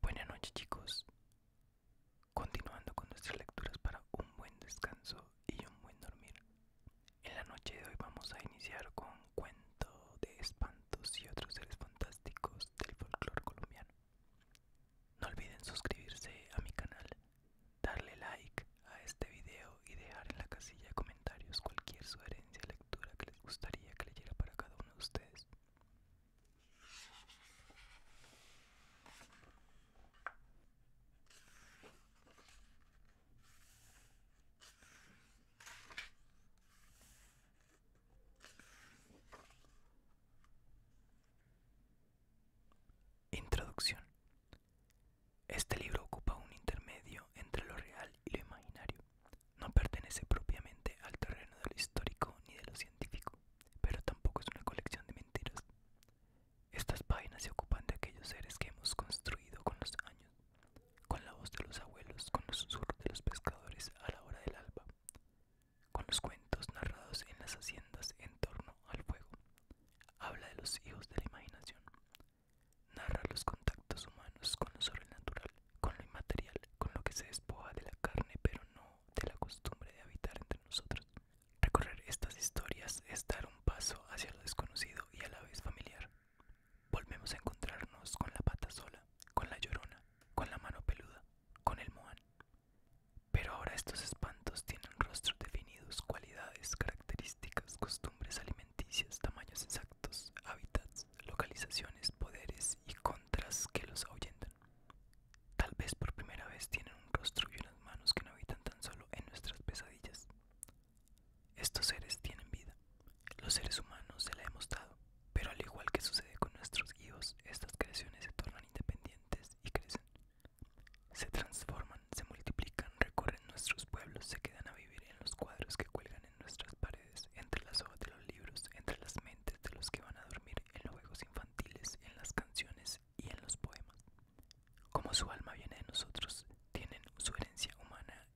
Buenas noches chicos. Continuando con nuestras lecturas para un buen descanso y un buen dormir. En la noche de hoy vamos a iniciar con un cuento de espantos y otros seres fantásticos del folclore colombiano. No olviden suscribirse a mi canal, darle like a este video y dejar en la casilla de comentarios cualquier sugerencia, lectura que les gustaría que leyera para cada uno de ustedes. Introducción. Este libro ocupa un intermedio entre lo real y lo imaginario, no pertenece propiamente al terreno de lo histórico ni de lo científico, pero tampoco es una colección de mentiras. Estas páginas se ocupan de aquellos seres que hemos construido con los años, con la voz de los abuelos, con los susurros de los pescadores a la hora del alba, con los cuentos narrados en las haciendas en torno al fuego. Habla de los hijos de la imaginación, narra los contactos humanos con lo sobrenatural, con lo inmaterial, con lo que se despoja de la carne pero no de la costumbre de habitar entre nosotros. Recorrer estas historias es dar un paso hacia lo desconocido y a la vez familiar. Volvemos a encontrarnos con la pata sola, con la llorona, con la mano peluda, con el moan. Pero ahora estos espantos tienen rostros definidos, cualidades, características, costumbres alimenticias, tamaños exactos, hábitats, localizaciones, poderes y contras que los ahuyentan. Tal vez por primera vez tienen un rostro y unas manos que no habitan tan solo en nuestras pesadillas. Estos seres tienen vida. Los seres humanos se la hemos dado, pero al igual que sucede con nuestros hijos, estas creaciones se tornan independientes y crecen. Se transforman, se multiplican, recorren nuestros pueblos, se quedan a vivir en los cuadros que cuelgan nuestras paredes, entre las hojas de los libros, entre las mentes de los que van a dormir, en los juegos infantiles, en las canciones y en los poemas. Como su alma viene de nosotros, tienen su herencia humana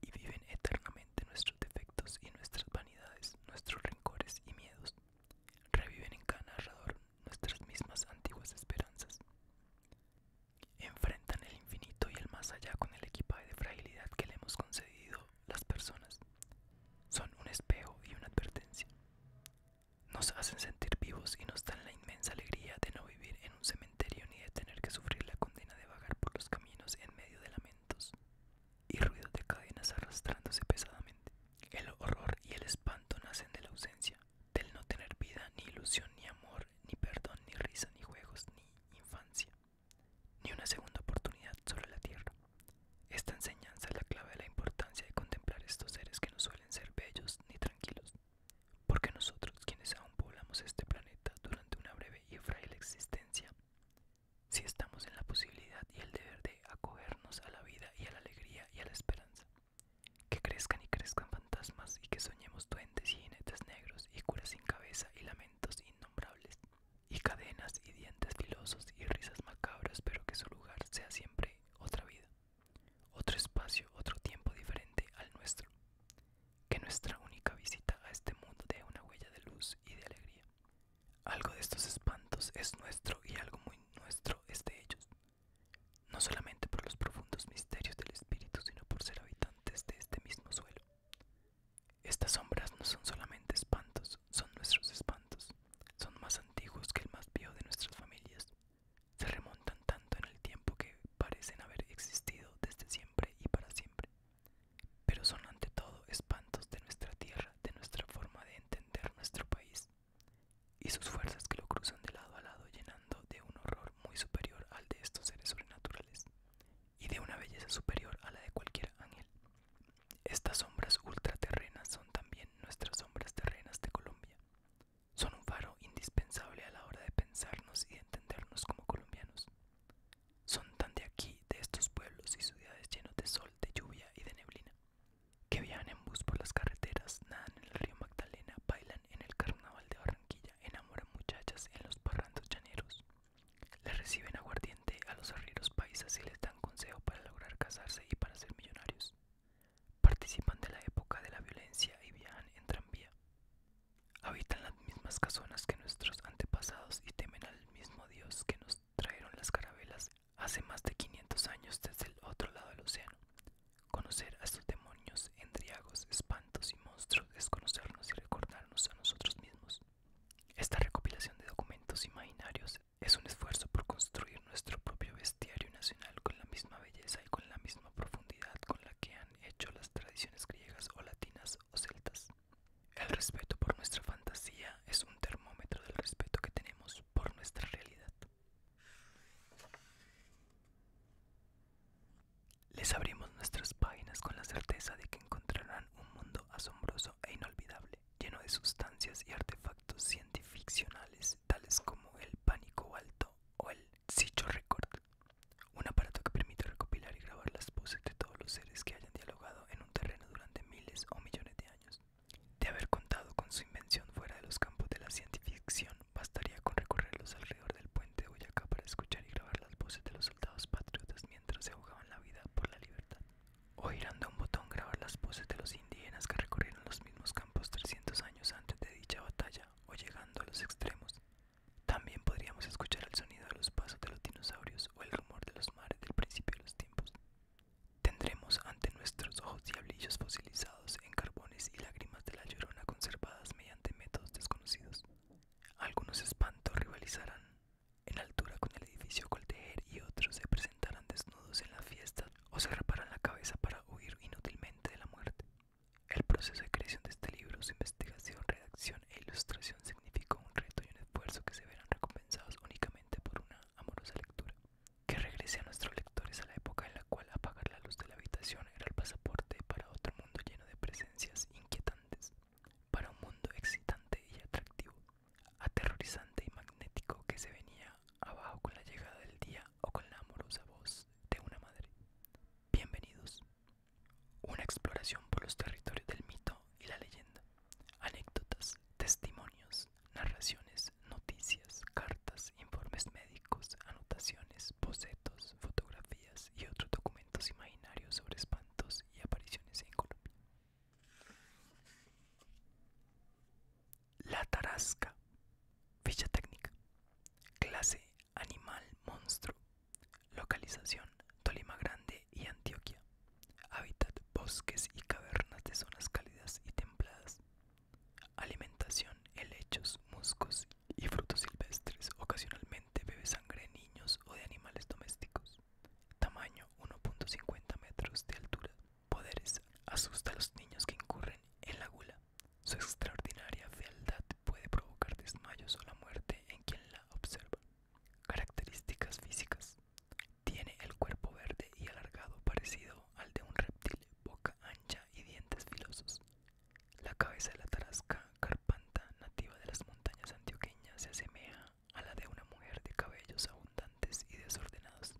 y viven eternamente nuestros defectos y nuestras vanidades, nuestros rencores y miedos. Reviven en cada narrador nuestras mismas antiguas esperanzas. Enfrentan el infinito y el más allá con el equipaje de fragilidad que le hemos concedido las personas. Son un espejo y una advertencia. Nos hacen sentir vivos y nos dan la inmensa alegría de no vivir en un cementerio ni de tener que sufrir la condena de vagar por los caminos en medio de lamentos y ruidos de cadenas arrastrándose pesadamente. El horror y el espanto nacen de la ausencia, del no tener vida, ni ilusión, ni amor, ni perdón, ni risa, ni juegos, ni infancia ni una segunda oportunidad sobre la tierra. Esta enseñanza es la clave de la importancia de contemplar estos seres que no suelen ser bellos ni tranquilos, porque nosotros, quienes aún poblamos este planeta durante una breve y frágil existencia, si estamos en la posibilidad y el deber de acogernos a la vida y a la alegría y a la esperanza, que crezcan y crezcan fantasmas y que soñemos duendes y jinetes negros y curas sin cabeza y lamentos innombrables, y cadenas y dientes filosos y risas macabras, pero que su lugar sea siempre otra vida, otro espacio, otro tiempo diferente al nuestro. Que nuestra única visita a este mundo dé una huella de luz y de alegría. Algo de estos espantos es nuestro y algo muy nuestro es de ellos, no solamente por los profundos misterios del espíritu, sino por ser habitantes de este mismo suelo. Estas sombras no son solamente espantos, son nuestros espantos. Son más antiguos que el más viejo de nuestras familias. Se remontan tanto en el tiempo que parecen haber existido desde siempre y para siempre. Pero son ante todo espantos de nuestra tierra, de nuestra forma de entender nuestro país y sus fuerzas que lo cruzan de lado a lado llenando de un horror muy superior al de estos seres sobrenaturales y de una belleza superior a la de cualquier ángel. Estas sombras ultraterrenas son también nuestras sombras terrenas de Colombia. Son un faro indispensable a la hora de pensarnos y de entendernos como colombianos. Son tan de aquí, de estos pueblos y ciudades llenos de sol, de lluvia y de neblina, que viajan en bus por las carreteras, nadan en el río Magdalena, bailan en el carnaval de Barranquilla, enamoran muchachas en los parrandos llaneros, les reciben aguardiente a los arrieros paisas y les dan consejo para lograr casarse y para ser millonarios. Participan de la época de la violencia y viajan en tranvía. Habitan las mismas casonas que nuestros antepasados y temen al mismo Dios que nos trajeron las carabelas hace más de 500 años desde el otro lado del océano. Conocer a estos demonios, endriagos, espantos y monstruos es conocernos y recordarnos a nosotros mismos. Esta recopilación de documentos imaginarios es un esfuerzo por construir nuestro propio bestiario nacional con la misma belleza y con la misma profundidad con la que han hecho las tradiciones griegas o latinas o celtas. El respeto por nuestra fantasía es un termómetro del respeto que tenemos por nuestra realidad. Les abrimos nuestras páginas con la certeza de que encontrarán un mundo asombroso e inolvidable, lleno de sustancias y artefactos cientificcionales, tales como el pánico alto o el Sicho Record, un aparato que permite recopilar y grabar las voces de todos los seres que hayan dialogado en un terreno durante miles o millones de años. De haber contado con su invención fuera de los campos de la cientificción, bastaría con recorrerlos alrededor del puente de Boyacá para escuchar y grabar las voces de los soldados patriotas mientras se ahogaban la vida por la libertad. O girando un botón grabar las poses de los indígenas que recorrieron los mismos campos 300 años antes de dicha batalla o llegando a los extremos. También podríamos escuchar el sonido de los pasos de los dinosaurios o el rumor de los mares del principio de los tiempos. Tendremos ante nuestros ojos diablillos fosilizados en carbones y lágrimas de la llorona conservadas mediante métodos desconocidos. Algunos espantos rivalizarán en altura con el edificio Coltejer y otros se presentarán desnudos en la fiesta o se raparán la cabeza para huir inútilmente de la muerte. El proceso de creación de este libro, su investigación, redacción e ilustración significó un reto y un esfuerzo que se verán recompensados únicamente por una amorosa lectura. Que regrese a nuestros lectores a la época en la cual apagar la luz de la habitación era el pasaporte para otro mundo lleno de presencias inquietantes para un mundo excitante y atractivo, aterrorizante y magnético que se venía abajo con la llegada del día o con la amorosa voz de una madre. Bienvenidos. Una exploración por los territorios del mito y la leyenda. Anécdotas, testimonios, narraciones, noticias, cartas, informes médicos, anotaciones, bocetos, fotografías y otros documentos imaginarios sobre espantos y apariciones en Colombia. La Tarasca, ficha técnica, clase, animal, monstruo, localización, Tolima Grande y Antioquia, hábitat, bosques y cavernas de zonas cálidas y templadas, alimentación, helechos, musgos y frutos silvestres. Ocasionalmente bebe sangre de niños o de animales domésticos. Tamaño 1.50 metros de altura. Poderes. Asusta a los niños que incurren en la gula. Su extraordinaria fealdad puede provocar desmayos o la muerte en quien la observa. Características físicas. Tiene el cuerpo verde y alargado parecido al de un reptil, boca ancha y dientes filosos. La cabeza de la tarasca carpanta, nativa de las montañas antioqueñas, se asemeja a la de una mujer de cabellos abundantes y desordenados.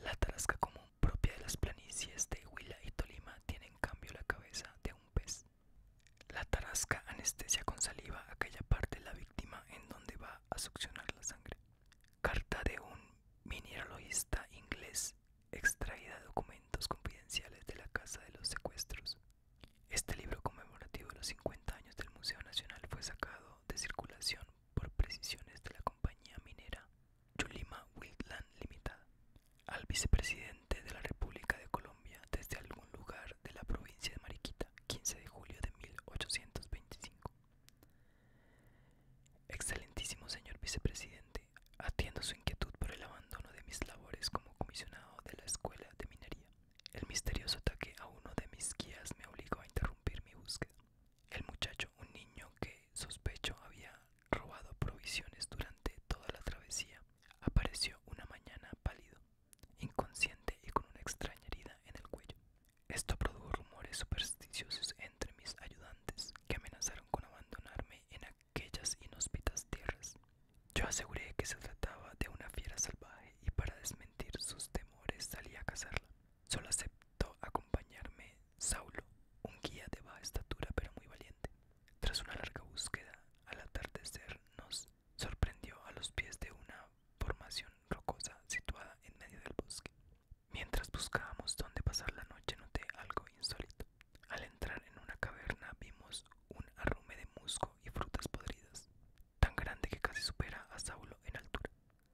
La tarasca común, propia de las planicies de Huila y Tolima, tiene en cambio la cabeza de un pez. La tarasca anestesia con saliva aquella parte de la víctima en donde va a succionar la sangre. Carta de un mineralogista inglés extraída de documentos confidenciales de la Casa de los Secuestros. Este libro conmemorativo de los 50 años del Museo Nacional fue sacado de circulación por precisiones de la compañía minera Yulima Wildland Limitada al vicepresidente de la República de Colombia desde algún lugar de la provincia de Mariquita, 15 de julio de 1825. Excelentísimo señor vicepresidente, atiendo su inquietud por el abandono de mis labores como comisionado de la escuela de minería. El misterioso ataque a uno de mis guías me obligó a interrumpir mi búsqueda. El muchacho, un niño que sospecho había robado provisiones durante toda la travesía, apareció una mañana pálido, inconsciente y con una extraña herida en el cuello. Esto produjo rumores supersticiosos entre mis ayudantes que amenazaron con abandonarme en aquel aquellas inhóspitas tierras. Yo aseguré que se trataba de una fiera salvaje y para desmentir sus temores salí a cazarla. Solo aceptó acompañarme Saulo, un guía de baja estatura pero muy valiente. Tras una larga búsqueda, al atardecer nos sorprendió a los pies de una formación rocosa situada en medio del bosque. Mientras buscábamos dónde pasar la noche noté algo insólito. Al entrar en una caverna vimos un arrume de musgo y frutas podridas, tan grande que casi supera a Saulo en altura.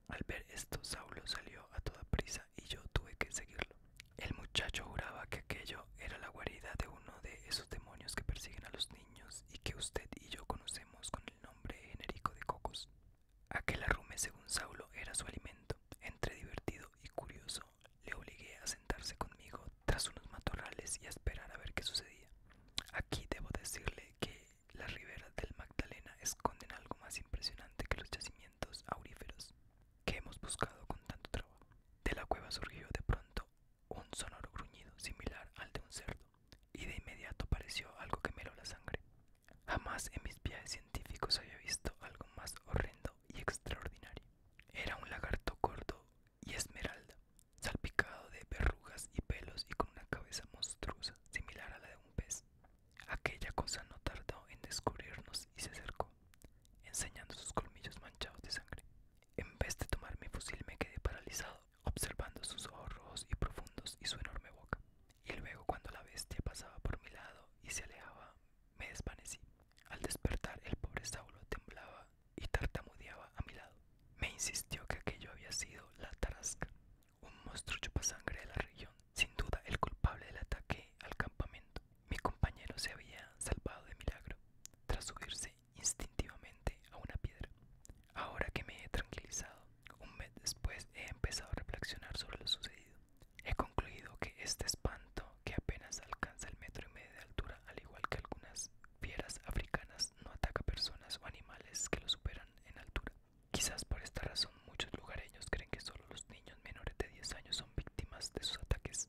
Al ver esto, Saulo salió a toda prisa y yo tuve que seguirlo. El muchacho juraba que aquello era la guarida de uno de esos demonios que persiguen a los niños y que usted y yo conocemos con el nombre genérico de cocos. Aquel arrume, según Saulo, era su alimento, entre divertido y curioso le obligué a sentarse conmigo tras unos matorrales y a esperar a ver qué sucedía. Aquí debo decirle que las riberas del Magdalena esconden algo más impresionante que los yacimientos auríferos que hemos buscado con tanto trabajo. De la cueva surgió de pronto un sonoro gruñido similar al de un cerdo, y de inmediato pareció algo que me la sangre. Jamás en mis viajes científicos había visto algo más horrendo y extraordinario. Era un lagarto gordo y esmeralda, salpicado de verrugas y pelos y con una cabeza monstruosa similar a la de un pez. Aquella cosa no tardó en descubrirnos y se acercó, enseñando sus colmillos manchados de sangre. En vez de tomar mi fusil me quedé paralizado, observando sus ojos rojos y profundos y su enorme boca. Y luego cuando la bestia pasaba por mi lado y se alejaba, me desvanecí. Al despertar el pobre Saulo temblaba y tartamudeaba a mi lado. Me insistió que aquello había sido la tarasca, un monstruo chupasangre de la región, sin duda el culpable del ataque al campamento. Mi compañero se había salvado de milagro, tras subirse instintivamente a una piedra. Ahora que me he tranquilizado, un mes después he empezado a reflexionar sobre lo sucedido. He concluido que este espanto que apenas alcanza el metro y medio de altura, al igual que algunas fieras africanas, no ataca personas o animales que lo superan en altura. Quizás por esta razón muchos lugareños creen que solo los niños menores de 10 años son víctimas de sus ataques.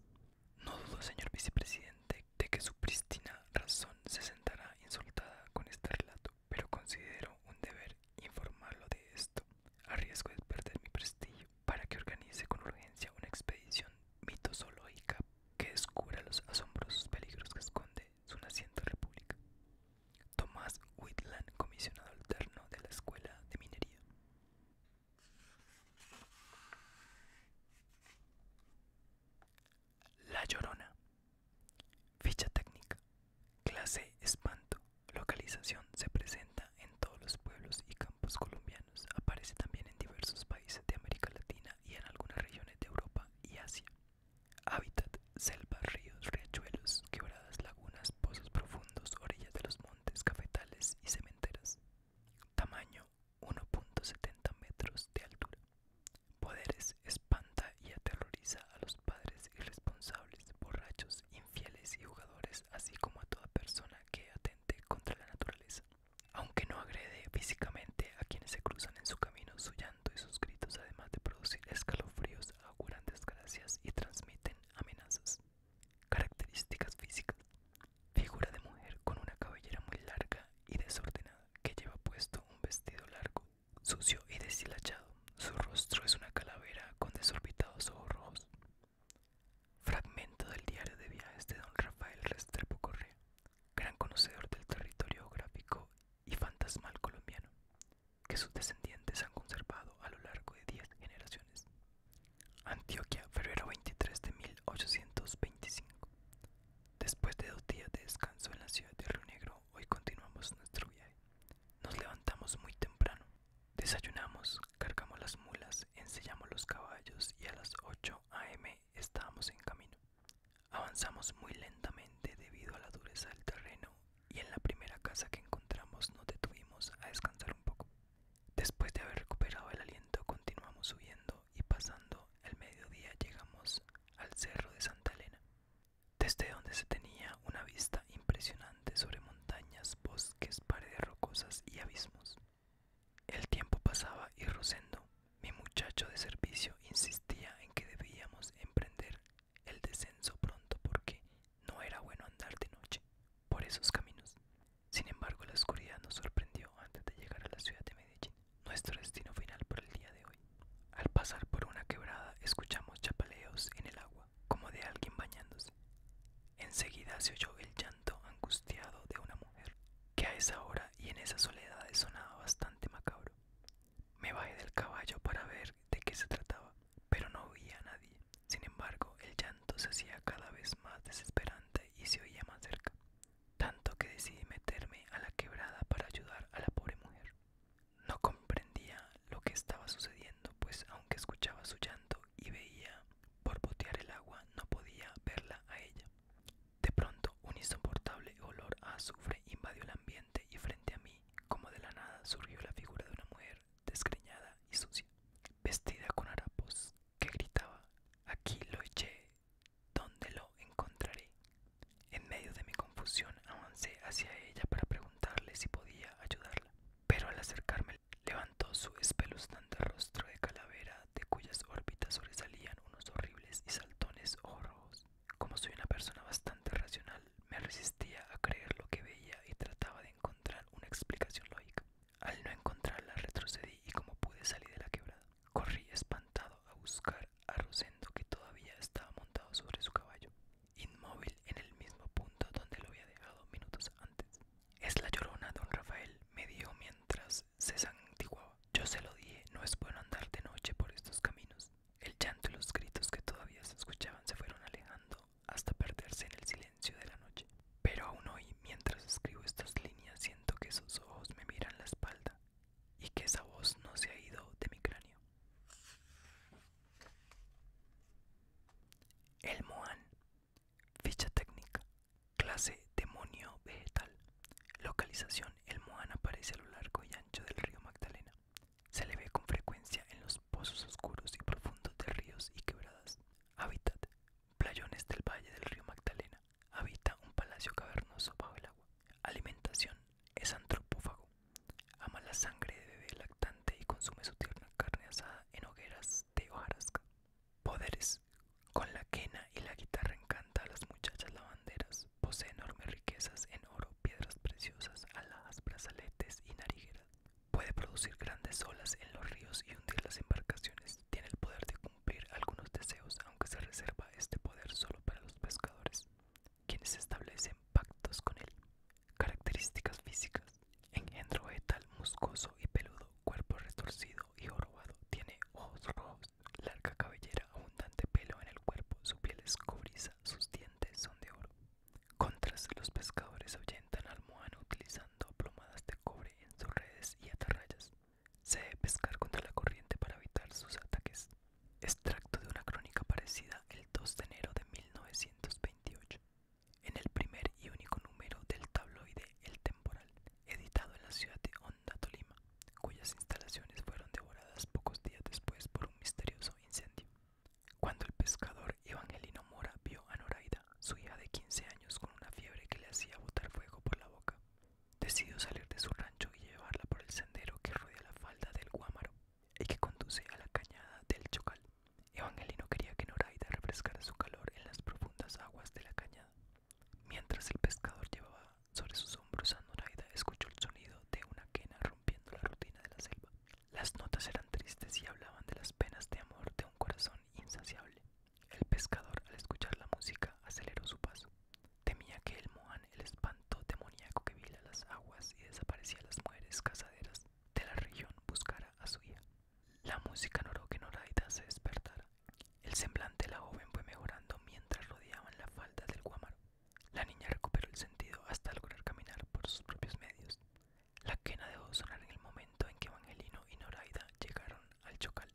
No dudo, señor vicepresidente, de que su prístina razón se sentará insultada con este relato, pero considero un deber informarlo de esto, a riesgo de perder mi prestigio para que organice con urgencia una expedición mitosológica que descubra los asombrosos peligros que esconde su naciente república. Tomás Whitland, comisionado alterno de la Escuela de Minería. La Llorona. Ficha técnica. Clase espanto. Localización se presenta en todos los pueblos y campos colombianos. Aparece también en diversos países de América Latina y en algunas regiones de Europa y Asia. Hábitat: selvas, ríos, riachuelos, quebradas, lagunas, pozos profundos, orillas de los montes, cafetales y cementeras. Tamaño: 1.70 metros de altura. Poderes: espanta y aterroriza a los padres irresponsables, borrachos, infieles y jugadores, así como a toda persona que atenta contra la naturaleza. Aunque no agrede físicamente a quienes se cruzan en su camino, su llanto y sus gritos, además de producir escalofríos, auguran desgracias y transmiten amenazas. Características físicas. Figura de mujer con una cabellera muy larga y desordenada, que lleva puesto un vestido largo, sucio y deshilachado. Su rostro es una calavera con desorbitados ojos rojos. Fragmento del diario de viajes de don Rafael Restrepo Correa, gran conocedor del territorio gráfico y fantasmal colombiano, que sus descendientes han conservado a lo largo de 10 generaciones. Antioquia, febrero 23 de 1825. Después de dos días de descanso en la ciudad de Río Negro, hoy continuamos nuestro viaje. Nos levantamos muy temprano, Desayunamos, cargamos las mulas, ensillamos los caballos y a las 8 a.m. estábamos en camino. Avanzamos muy lentamente debido a la dureza del terreno y en la primera casa que encontramos nos detuvimos a descansar un poco. Después de haber recuperado el aliento continuamos subiendo y pasando el mediodía llegamos al cerro de Santa Elena, desde donde se tenía una vista impresionante sobre montañas, bosques, paredes rocosas y abismos. El tiempo pasaba y Rosendo, mi muchacho de servicio, insistía en que debíamos emprender el descenso pronto porque no era bueno andar de noche por esos caminos. Sin embargo, la oscuridad nos sorprendió antes de llegar a la ciudad de Medellín, nuestro destino final por el día de hoy. Al pasar por una quebrada escuchamos chapaleos en el agua, como de alguien bañándose. Enseguida se oyó el llanto angustiado de una mujer, que a esa hora y en esa soledad sonaba bastante macabro. Me bajé del caballo para ver de qué se trataba, pero no oía a nadie. Sin embargo, el llanto se hacía cada vez más desesperante y se oía más cerca, tanto que decidí meterme a la quebrada para ayudar a la pobre mujer. No comprendía lo que estaba sucediendo, pues aunque escuchaba su llanto y veía botear el agua no podía verla a ella. De pronto, un insoportable olor a azufre invadió el ambiente y frente a mí, como de la nada, surgió la figura de una mujer desgreñada y sucia, vestida con harapos, que gritaba, aquí lo eché, ¿dónde lo encontraré? En medio de mi confusión avancé hacia ella para preguntarle si podía ayudarla, pero al acercarme Levantó su espeluznante rostro de calavera, de cuyas órbitas sobresalían unos horribles y saltones ojos rojos. Como soy una persona bastante racional, me resistía a creer lo que veía y trataba de encontrar una explicación lógica. Al no encontrarla, retrocedí y como pude salir de la quebrada. Corrí espantado a buscar a Rosendo, que todavía estaba montado sobre su caballo, inmóvil en el mismo punto donde lo había dejado minutos antes. Es la llorona, don Rafael, me dio mientras se santiguaba. Yo se lo dije, no es bueno andar de noche por estos caminos. El llanto y los gritos que todavía se escuchaban se fueron alejando hasta perderse en el silencio de la noche. Pero aún hoy, mientras escribo estas líneas, siento que sus ojos me miran la espalda y que esa voz no se ha ido de mi cráneo. El Moan Ficha técnica. Clase demonio vegetal. Localización. El Mohan aparece a lo largo y ancho del río Magdalena. Se le ve con frecuencia en los pozos oscuros y profundos de ríos y quebradas. Hábitat. Playones del valle del río Magdalena. Habita un palacio cavernoso bajo el agua. Alimentación. Es antropófago. Ama la sangre de bebé lactante y consume su tierna carne asada en hogueras de hojarasca. Poderes. Con la quena y la guitarra encanta a las muchachas lavanderas. Posee enormes riquezas en oro, piedras preciosas, alhajas, brazaletes y narigueras. Puede producir grandes olas en los ríos y hundir las embarcaciones. Tiene el poder de cumplir algunos deseos, aunque se reserva este poder solo para los pescadores, quienes establecen pactos con él. Características físicas. Engendro vegetal muscoso y peludo, cuerpo retorcido y jorobado. Tiene ojos rojos, larga cabellera, abundante pelo en el cuerpo, su piel es cobriza, sus dientes son de oro. Contras, los pescadores ahuyentan al moano utilizando plomadas de cobre en sus redes y atarrayas. Se debe pescar contra la corriente para evitar sus ataques. Extracto de una crónica parecida el 2 de enero de 1928 en el primer y único número del tabloide El Temporal, editado en la ciudad de Honda, Tolima, cuyas instalaciones fueron devoradas pocos días después por un misterioso incendio. Cuando el pescador Evangelino Mora vio a Noraida, su hija de 15 años, con una fiebre que le hacía botar fuego por la boca, decidió salir de su rancho y llevarla por el sendero que rodea la falda del Guámaro y que conduce a la cañada del Chocal. Evangelino quería que Noraida refrescara su calor en las profundas aguas de la cañada. Mientras el pescador llevaba sobre sus hombros a Noraida, escuchó el sonido de una quena rompiendo la rutina de la selva. Las notas eran tristes y hablaban de las penas de amor de un corazón insaciable. El pescador, al escuchar la música, aceleró su paso. Temía que el mohán, el espanto demoníaco que vila las aguas y desaparecía las mujeres cazaderas de la región, buscara a su hija. La música no que Noraida se despertara. El semblante de la joven fue mejorando mientras rodeaban las falda del guamaro. La niña recuperó el sentido hasta lograr caminar por sus propios medios. La quena dejó sonar en el momento en que Evangelino y Noraida llegaron al chocal.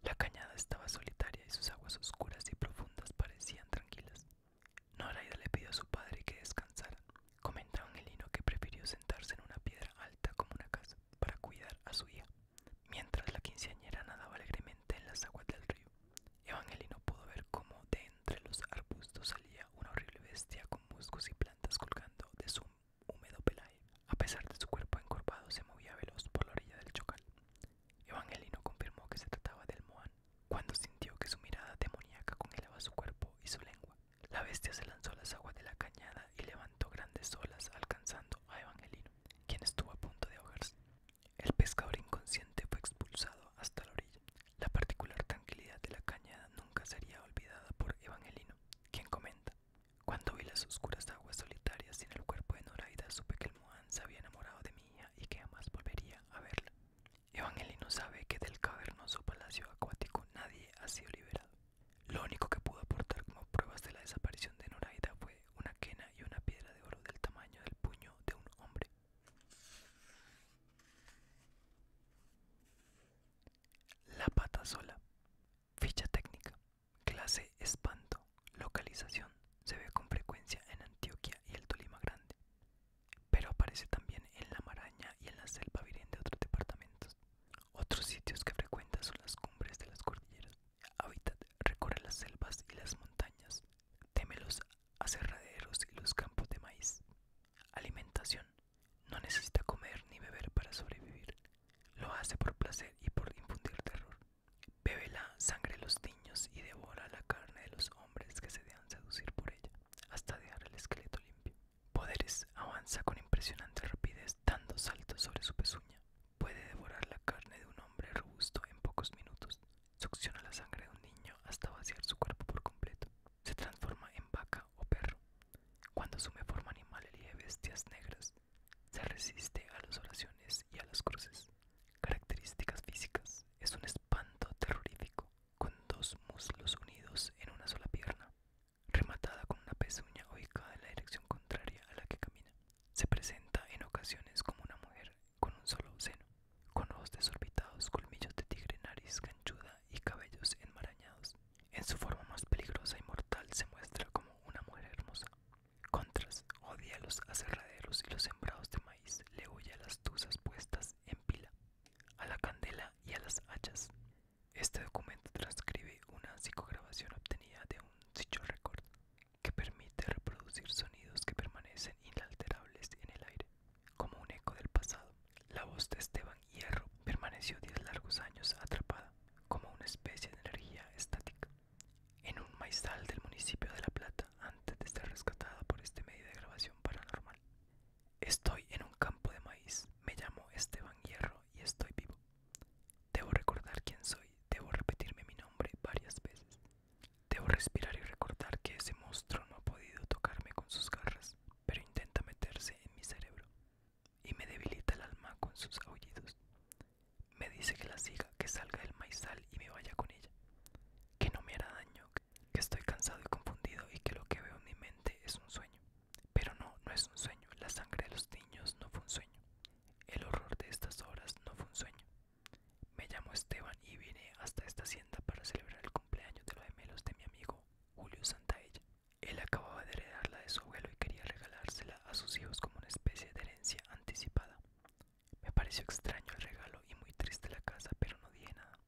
La cañada estaba solitaria y sus aguas oscuras y profundas parecían tranquilas. Noraida le pidió a su padre que descansara Comenta Angelino que prefirió sentarse en una piedra alta como una casa para cuidar a su hija, mientras la quinceañera nadaba alegremente en las aguas del río. Evangelino pudo ver cómo de entre los arbustos salía una horrible bestia con musgos y plantas colgando de su húmedo pelaje. A pesar de su cuerpo encorvado, se movía veloz por la orilla del chocal. Evangelino confirmó que se trataba del moán cuando sintió que su mirada demoníaca congelaba su cuerpo y su lengua. La bestia se lanzó a las aguas de la cañada y levantó grandes olas alcanzando a Evangelino, quien estuvo a punto de ahogarse. El pescador inconsciente fue expulsado hasta la orilla. La particular tranquilidad de la cañada nunca sería olvidada por Evangelino, quien comenta, cuando vi las oscuras aguas solitarias sin el cuerpo de Noraida supe que el moán se había enamorado de mi hija y que jamás volvería a verla. Evangelino sabe que del cavernoso palacio acuático nadie ha sido liberado. Lo único que pudo aportar como pruebas de la desaparición de Noraida fue una quena y una piedra de oro del tamaño del puño de un hombre. La pata sola. Ficha técnica. Clase espanto. Localización. Se ve con frecuencia en Antioquia y el Tolima Grande pero aparece también en la maraña y en la selva virgen de otros departamentos. Otros sitios que frecuenta son las cumbres de las cordilleras. Hábitat recorre las selvas y las montañas, teme los aserraderos y los campos de maíz. Alimentación. No necesita comer ni beber para sobrevivir. Lo hace por placer y por infundir terror. Bebe la sangre de los niños y devora la carne de los hombres que se dejan seducir por ella, hasta dejar el esqueleto limpio. Poderes avanza con impresionante rapidez dando saltos sobre su pezuña. Puede devorar la carne de un hombre robusto en pocos minutos. Succiona la sangre de un niño hasta vaciar su cuerpo por completo. Se transforma en vaca o perro. Cuando asume forma animal elige bestias negras. Se resiste a las oraciones y a las cruces. Características físicas. Es un espanto terrorífico con dos muslos unidos en una sola pierna, rematada con una pezuña ubicada en la dirección contraria a la que camina. Se presenta en ocasiones como una mujer con un solo seno, con ojos desorbitados, colmillos de tigre, nariz ganchuda y cabellos enmarañados. En su forma más peligrosa y mortal se muestra como una mujer hermosa. Contras odia los aserraderos y los sembrados de maíz, le huye a las tuzas puestas en pila, a la candela y a las hachas. Este documento transcribe una psicograbación obtenida de un sitio record que permite reproducir sonidos que permanecen inalterables en el aire, como un eco del pasado. La voz de Esteban Hierro permaneció diez largos años atrapada, como una especie de energía estática, en un maizal del municipio de La Plata antes de ser rescatada por este medio de grabación paranormal. Estoy en un campo de maíz, me llamo Esteban Hierro y estoy vivo. Debo recordar quién soy, debo repetirme mi nombre varias veces. Debo respirar y recordar que ese monstruo no ha podido tocarme con sus garras, pero intenta meterse en mi cerebro y me debilita el alma con sus aullidos. Me dice que la siga, que salga del maizal y me vaya con ella, que no me hará daño, que estoy cansado y confundido y que lo que veo en mi mente es un sueño. Pero no, no es un sueño, la sangre de los niños no fue un sueño, el horror de estas horas no fue un sueño. Me llamo Esteban y vine hasta esta hacienda para celebrar el cumpleaños de los gemelos de mi amigo Julio Santaella. Él acababa de heredarla de su abuelo y quería regalársela a sus hijos como una especie de herencia anticipada. Me pareció extraño el regalo y muy triste la casa, pero no dije nada.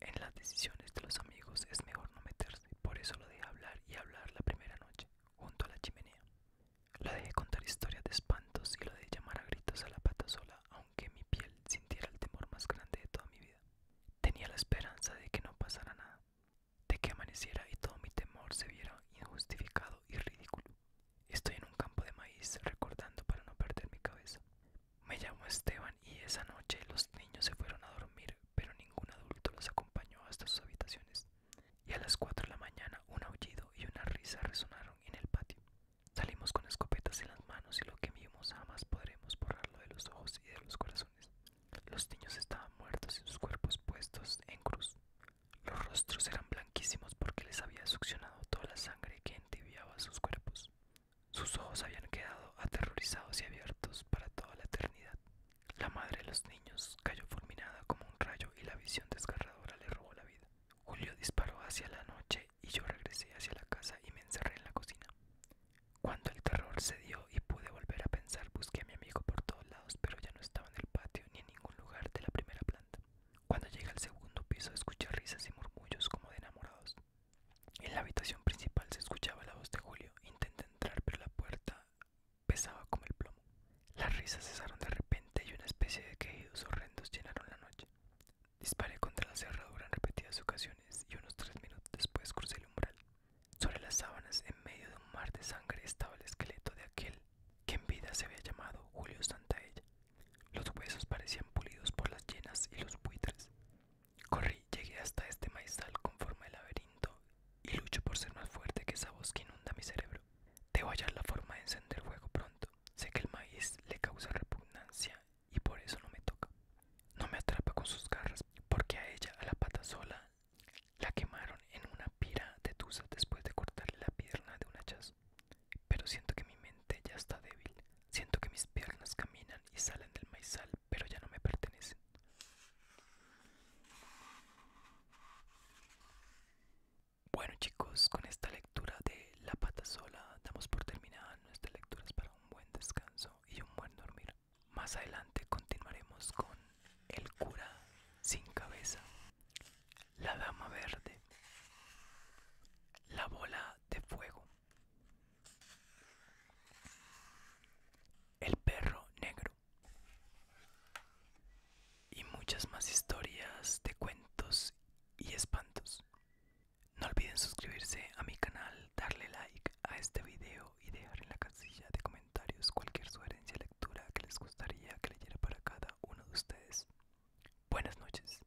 En las decisiones de los amigos es mejor no meterse, por eso lo dejé hablar y hablar la primera noche, junto a la chimenea. Lo dejé contar historias de espantos y lo de llamar a gritos a la pata sola, aunque mi piel sintiera el temor más grande de toda mi vida. Tenía la esperanza de que no pasara nada, de que amaneciera y todo mi temor se viera injustificado y ridículo. Estoy en un campo de maíz recordando para no perder mi cabeza. Me llamo Esteban y esa noche los niños se fueron a dormir, pero ningún adulto los acompañó hasta sus habitaciones. Y a las cuatro de la mañana un aullido y una risa resonaron en el patio. Salimos con escopetas en las manos y lo que vimos jamás podremos borrarlo de los ojos y de los corazones. Los niños estaban muertos y sus cuerpos puestos en cruz. Los rostros eran blanquísimos porque les había succionado toda la sangre que entibiaba sus cuerpos. Sus ojos habían quedado aterrorizados y abiertos para toda la eternidad. La madre de los niños cayó fulminada como un rayo y la visión desgarradora le robó la vida. Julio disparó hacia la noche y yo regresé hacia la casa y me encerré en la cocina. Cuando el terror cedió y pude volver a pensar, busqué a mi amigo por todos lados, pero ya no estaba en el patio ni en ningún lugar de la primera planta. Cuando llegué al segundo piso, escuché risas y murmullos como de enamorados. En la habitación principal se escuchaba la voz de Julio. Intenté entrar, pero la puerta pesaba como el plomo. Las risas cesaron de repente y una especie de quejidos horrendos llenaron la noche. Disparé contra la cerradura en repetidas ocasiones y unos tres minutos después crucé el umbral. Sobre las sábanas, en medio de un mar de sangre, estaba el esqueleto de aquel que en vida se había llamado Julio Santaella. Los huesos parecían pulidos por las llenas y los buitres. Corrí, llegué hasta este maizal con forma de laberinto y lucho por ser más fuerte que esa voz que inunda mi cerebro. Debo hallar la forma de encender fuego pronto. Sé que el maíz le causa repugnancia y por eso no me toca. No me atrapa con sus garras porque a ella, a la pata sola, la quemaron en una pira de tusa después de cortarle la pierna de un hachazo. Pero siento que mi mente ya está débil. Siento que mis piernas caminan y salen del maizal, pero ya no me pertenecen. Bueno chicos, con esta lectura de La pata sola damos por terminada nuestras lecturas para un buen descanso y un buen dormir. Más adelante continuaremos con El cura sin cabeza, La dama verde, La bola de fuego, el perro negro. Y muchas más historias de cuentos y espantos. No olviden suscribirse a mi canal, darle like a este video y dejar en la casilla de comentarios cualquier sugerencia lectura que les gustaría que leyera para cada uno de ustedes. Buenas noches.